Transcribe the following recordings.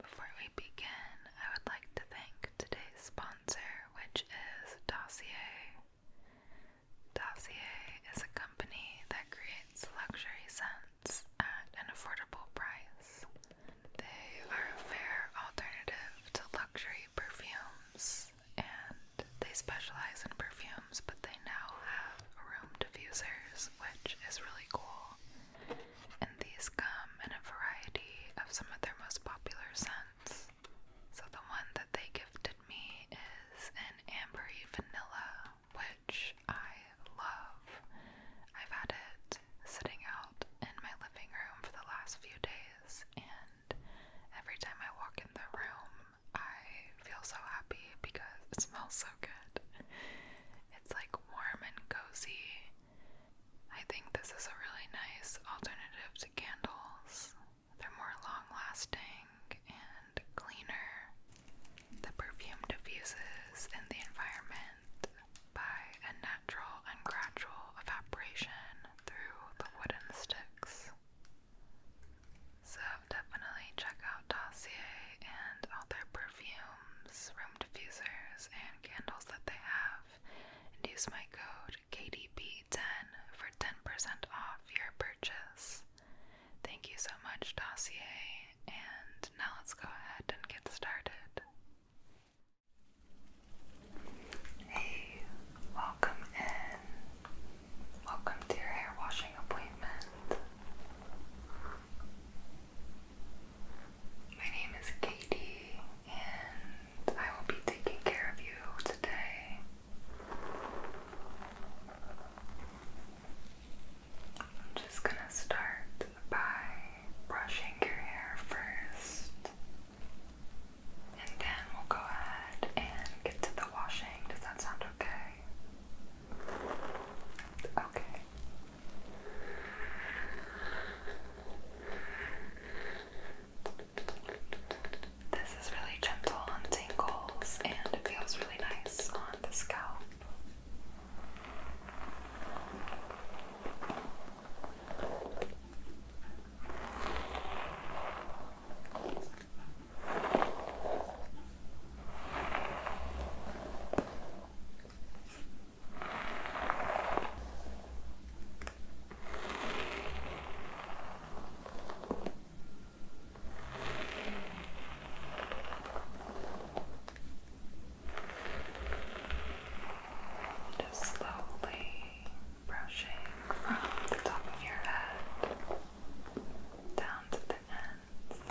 Before we begin, I would like to thank today's sponsor, which is Dossier. Dossier is a company that creates luxury scents at an affordable price. They are a fair alternative to luxury perfumes, and they specialize in perfumes, but they now have room diffusers, which is really cool and these come in a variety of some of their most popular scents. So the one that they gifted me is an ambery vanilla, which I love. I've had it sitting out in my living room for the last few days, and every time I walk in the room, I feel so happy because it smells so good. It's like warm and cozy, I think this is a really nice alternative to candles. They're more long lasting and cleaner. The perfume diffuses in the environment by a natural and gradual evaporation through the wooden sticks. So, definitely check out Dossier and all their perfumes room diffusers, and candles that they have, and use my code KDP10 for 10% off your purchase. Thank you so much, Dossier, and now let's go ahead and get started. Hey, welcome in. Welcome to your hair washing appointment. My name is Katie, and I will be taking care of you today. I'm just going to start by brushing your hair first, and then we'll go ahead and get to the washing. Does that sound okay? Okay. This is really gentle on tingles and it feels really nice on the scalp. Just slowly brushing from the top of your head down to the ends.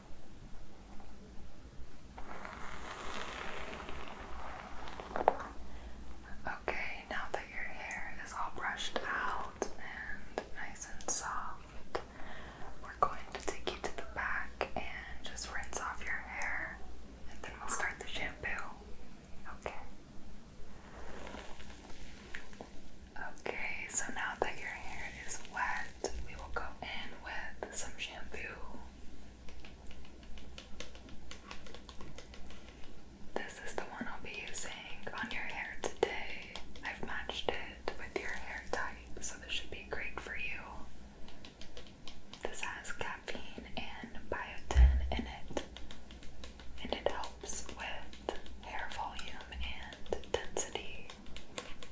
Okay, now that your hair is all brushed out and nice and soft, we're going to take you to the back and just rinse off your hair, and then we'll start the shampoo. Okay. Okay, so now that your hair is wet, we will go in with some shampoo. This is the one I'll be using on your hair today. I've matched it with your hair type, so this should be great for you. This has caffeine and biotin in it, and it helps with hair volume and density.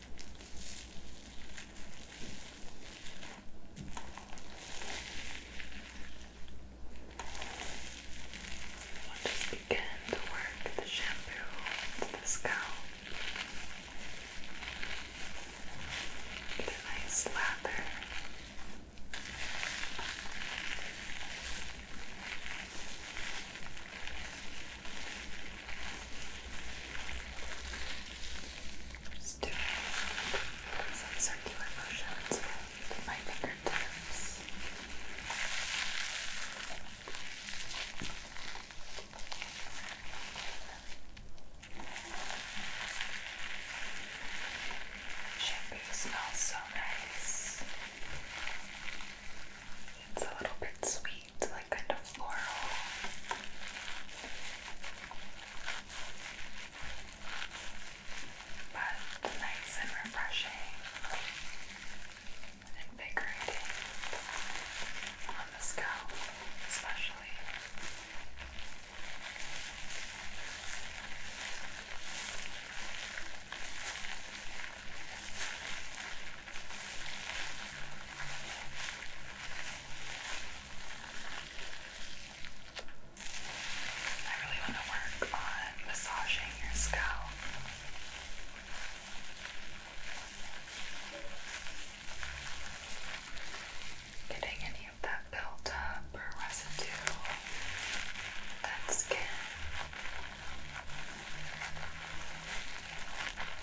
We'll just begin to work the shampoo into the scalp. Get a nice lather. Just doing some circular motions with my fingertips. Shampoo smells so nice. It's a little bit sweet. It's like kind of floral. But nice and refreshing and invigorating on the scalp, especially. I really want to work on massaging your scalp. Getting any of that built or residue, that skin.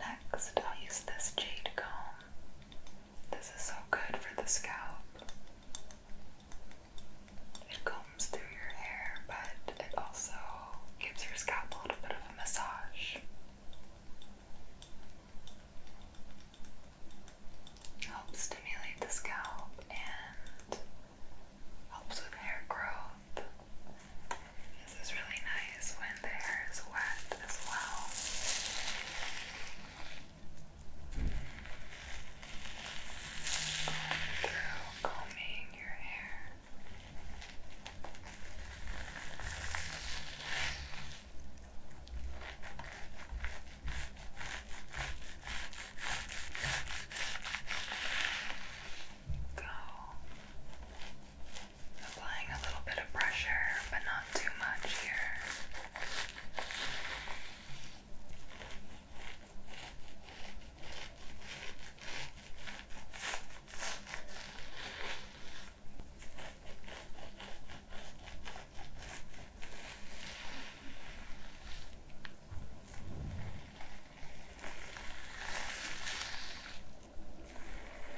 Next, I'll use this jade comb this is so good for the scalp. It combs through your hair, but it also gives your scalp a little bit of a massage. Helps stimulate the scalp and helps with hair growth. This is really nice when the hair is wet as well. Going through combing your hair. Go Applying a little bit of pressure, but not too much here.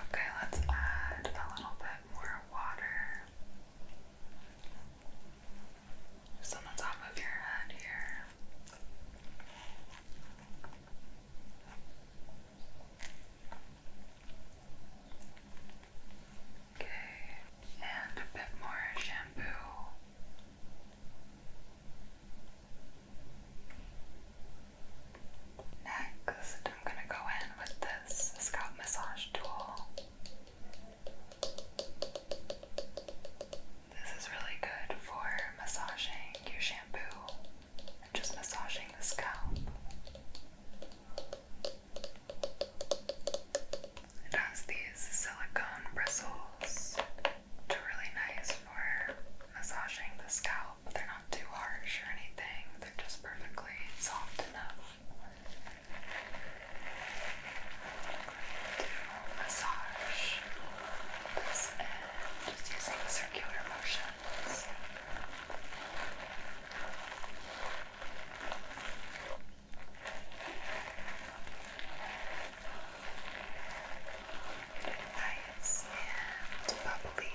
Okay, let's add a little bit more water. Just on the top of your head here. Okay, and a bit more shampoo. Next, I'm going to go in with this scalp massage tool. This is really good for massaging your shampoo and just massaging the scalp. It has these silicone bristles, which are really nice for massaging the scalp. They're not too harsh or anything, they're just perfectly soft enough to massage this end, just using circular motions. Nice and bubbly. Good.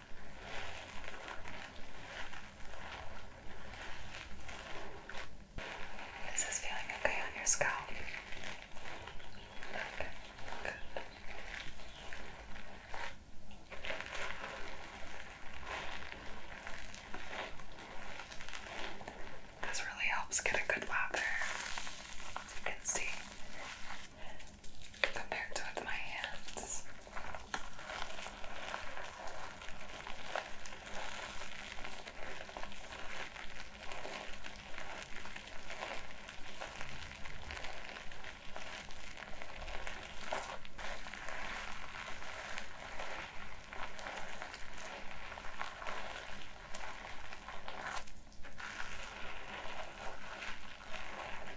This Is feeling okay on your scalp? This really helps get a good lather, as you can see compared to with my hands.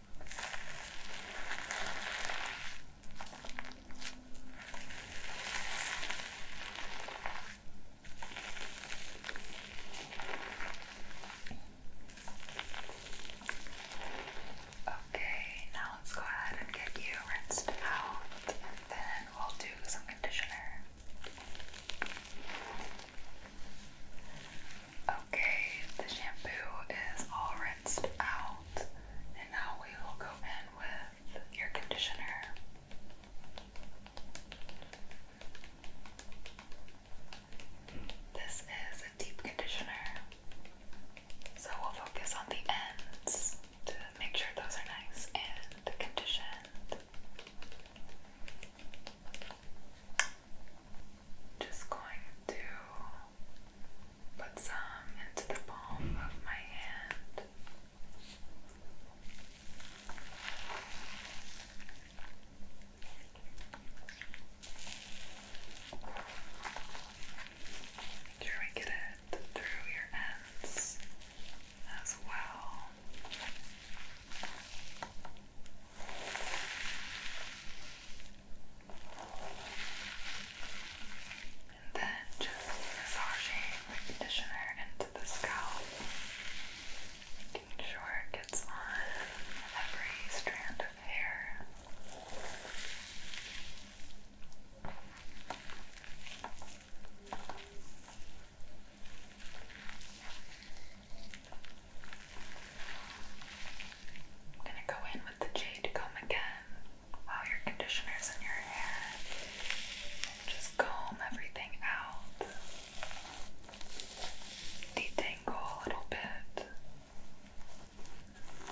Okay, now let's go ahead and get you rinsed out, and then we'll do some conditioner. Okay, the shampoo is all rinsed out, and now we will go in with your conditioner. This is a deep conditioner, so we'll focus on the ends to make sure those are nice and conditioned. Just going to Put some into the palm of my hand. Try and get it through your ends as well. And then just massaging the conditioner into the scalp, making sure it gets on every strand of hair. I'm going to go in with the jade comb again while your conditioner's in your hair. just comb everything out. Detangle a little bit.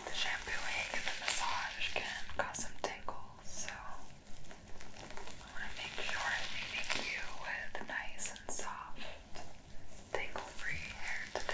The shampooing and the massage can cause some tingles, so I want to make sure I'm leaving you with nice and soft tangle-free hair today.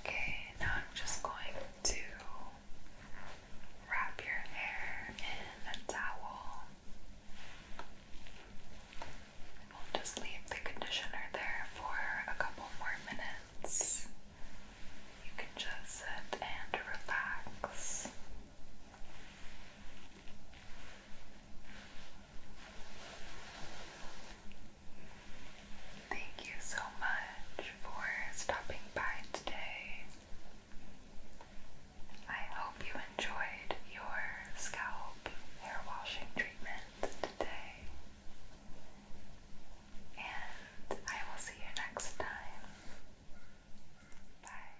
Okay, now I'm just going to wrap your hair in a towel. we'll just leave the conditioner there for a couple more minutes. You can just sit and relax. Thank you so much for stopping by today. I hope you enjoyed your scalp hair washing treatment today. And I will see you next time. Bye.